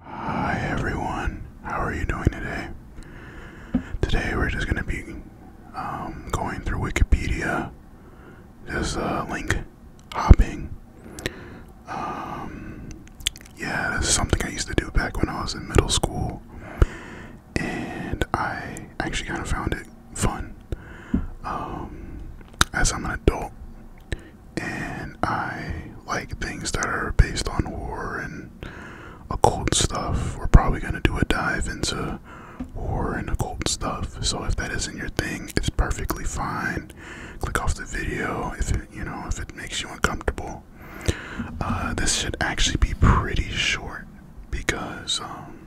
Hi everyone, how are you doing today? Today we're just going to be um, going through Wikipedia, just uh, link hopping. Um, yeah, this something I used to do back when I was in middle school, and I actually kind of found it fun. Um, as I'm an adult, and I like things that are based on war and occult stuff. We're probably going to do a dive into war and occult stuff. So if that isn't your thing, it's perfectly fine. Click off the video if it, you know, if it makes you uncomfortable. Uh, this should actually be pretty short because um,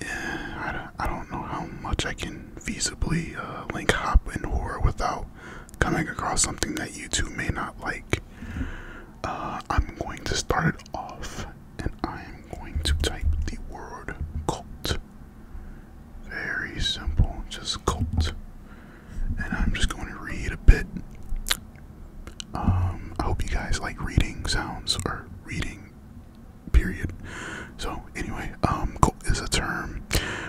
yeah, I, don't know how much I can feasibly uh, link hop and horror without coming across something that you two may not like. Uh, I'm going to start it off and I'm going to type the word cult. Very simple, just cult. And I'm just going to read a bit. Um, I hope you guys like reading sounds or reading period. So anyway, um, cult is a term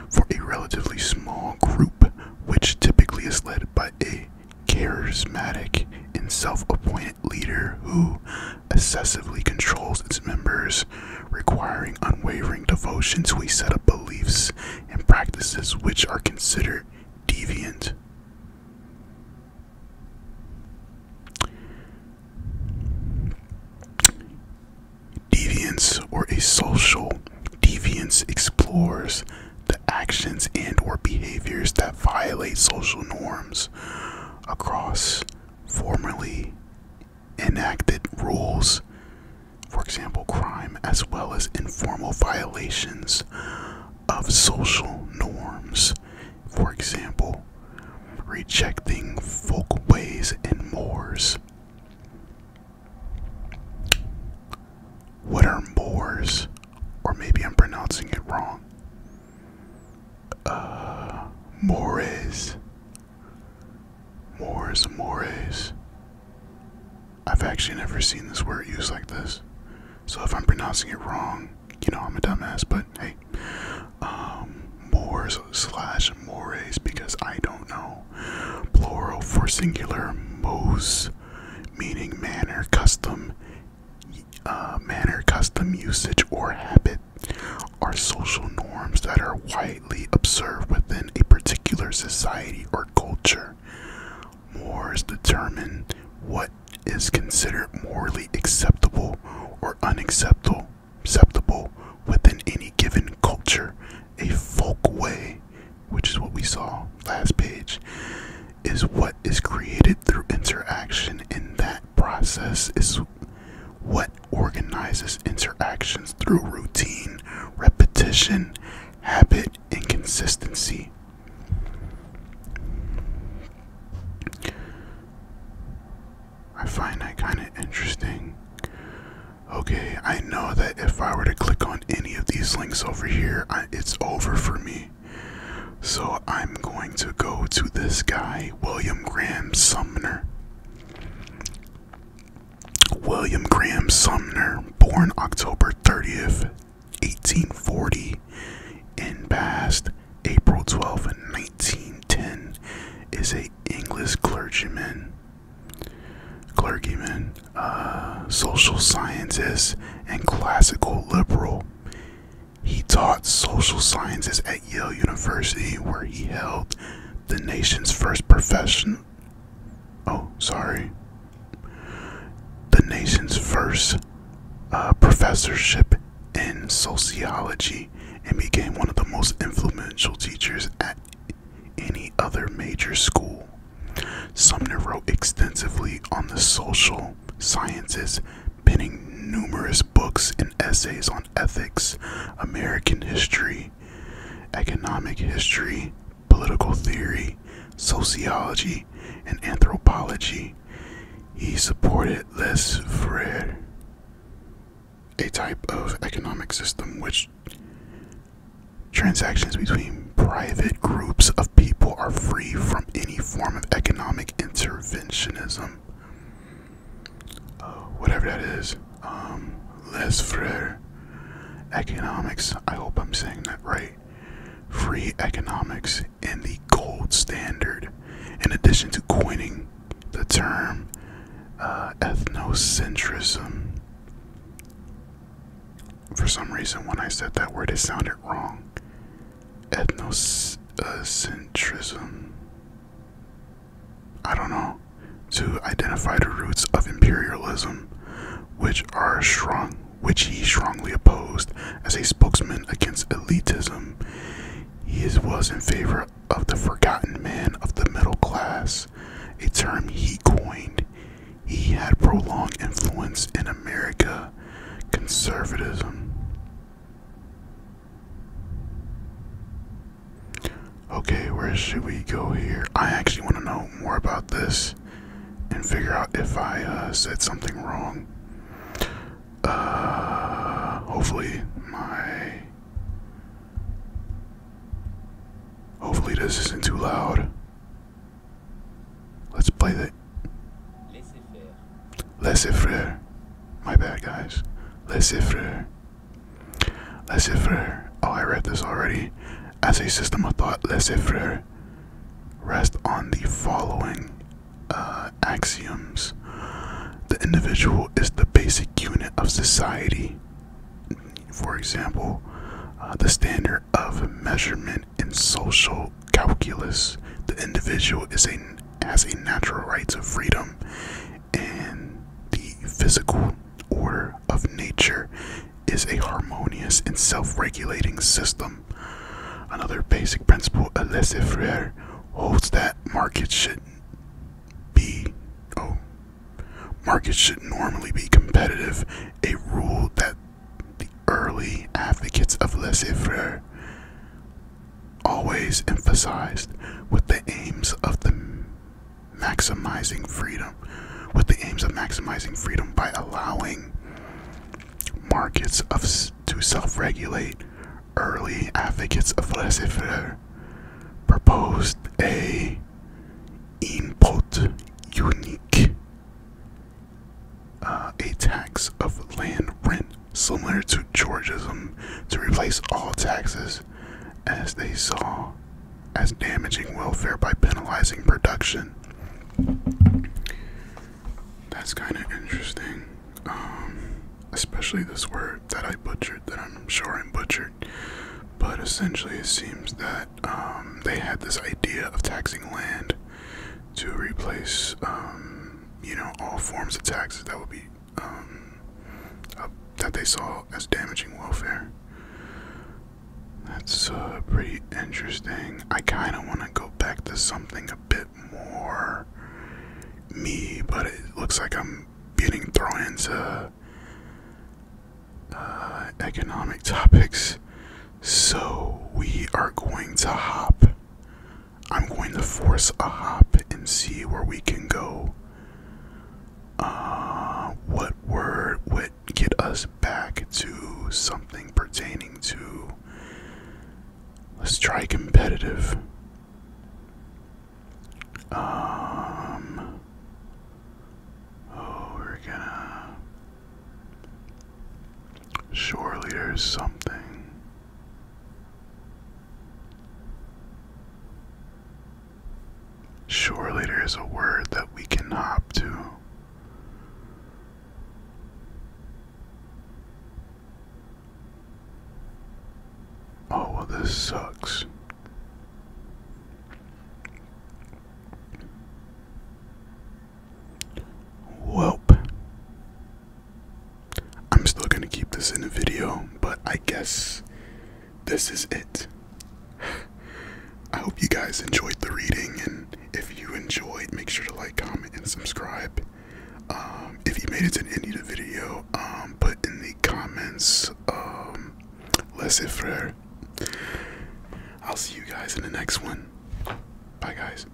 for a relatively small group which typically is led by a charismatic and self-appointed leader who obsessively controls its members, requiring unwavering devotion to a set of beliefs and practices which are considered deviant. Deviance or a social deviance explores the actions and or behaviors that violate social norms across formally enacted rules, for example, crime, as well as informal violations of social norms for example, rejecting folkways and mores. What are mores? Or maybe I'm pronouncing it wrong. Uh, mores. Mores, mores. I've actually never seen this word used like this. So if I'm pronouncing it wrong, you know I'm a dumbass, but hey, um, mores slash mores because I don't know. Plural for singular, mos meaning manner, custom, uh, manner, custom usage or habit are social norms that are widely observed within a particular society or culture. Mores determine what is considered morally acceptable or unacceptable acceptable within any given culture. A folk way, which is what we saw last page, is what is created through interaction, In that process is what organizes interactions through routine, repetition, habit, and consistency. I find that kind of interesting. Okay, I know that if I were to click on any of these links over here, it's over for me. So I'm going to go to this guy, William Graham Sumner. William Graham Sumner, born October 30th, 1840 and passed April 12, 1910 is a English clergyman, clergyman, uh, social scientist, and classical liberal. He taught social sciences at Yale University, where he held the nation's first profession. Oh, sorry the nation's first uh, professorship in sociology and became one of the most influential teachers at any other major school. Sumner wrote extensively on the social sciences, penning numerous books and essays on ethics, American history, economic history, political theory, sociology, and anthropology. He supported laissez-faire, a type of economic system which transactions between private groups of people are free from any form of economic interventionism. Uh, whatever that is. is, um, laissez-faire Economics. I hope I'm saying that right free economics and the gold standard, in addition to coining the term uh, ethnocentrism. For some reason, when I said that word, it sounded wrong. Ethnocentrism. I don't know. To identify the roots of imperialism which are strong which he strongly opposed as a spokesman against elitism. He was in favor of the forgotten man of the middle class, a term he coined. He had prolonged influence in America conservatism. Okay, where should we go here? I actually want to know more about this and figure out if I uh, said something wrong. Uh, hopefully my hopefully this isn't too loud. Let's play the Laissez-faire. Laissez-faire. My bad, guys. Laissez-faire. Laissez faire. Oh, I read this already. As a system of thought, laissez faire rest on the following uh, axioms the individual is the basic unit of society. For example, uh, the standard of measurement in social calculus. The individual is a, as a natural right to freedom, and the physical order of nature is a harmonious and self-regulating system. Another basic principle, laissez-faire, holds that markets should be oh markets should normally be competitive, a rule that the early advocates of laissez-faire always emphasized with the aims of the maximizing freedom with the aims of maximizing freedom by allowing markets to self-regulate early advocates of laissez-faire proposed a input unique uh, a tax of land rent similar to georgism to replace all taxes as they saw as damaging welfare by penalizing production. That's kind of interesting, um, especially this word that I butchered, that I'm sure I butchered. But essentially, it seems that um, they had this idea of taxing land to replace, um, you know, all forms of taxes that would be um, that they saw as damaging welfare. That's uh, pretty interesting. I kind of want to go back to something a bit more me, but it looks like I'm getting thrown into uh, economic topics. So we are going to hop. I'm going to force a hop and see where we can go uh, what word would get us back to something pertaining to? Let's try competitive. Um, oh, we're gonna. Surely there's something. Sure, later is a word that we can hop to. Oh, this sucks. Welp. I'm still gonna keep this in the video, but I guess this is it. I hope you guys enjoyed the reading, and if you enjoyed, make sure to like, comment, and subscribe. Um, if you made it to the end of the video, um, put in the comments, um, laissez frère. I'll see you guys in the next one. Bye, guys.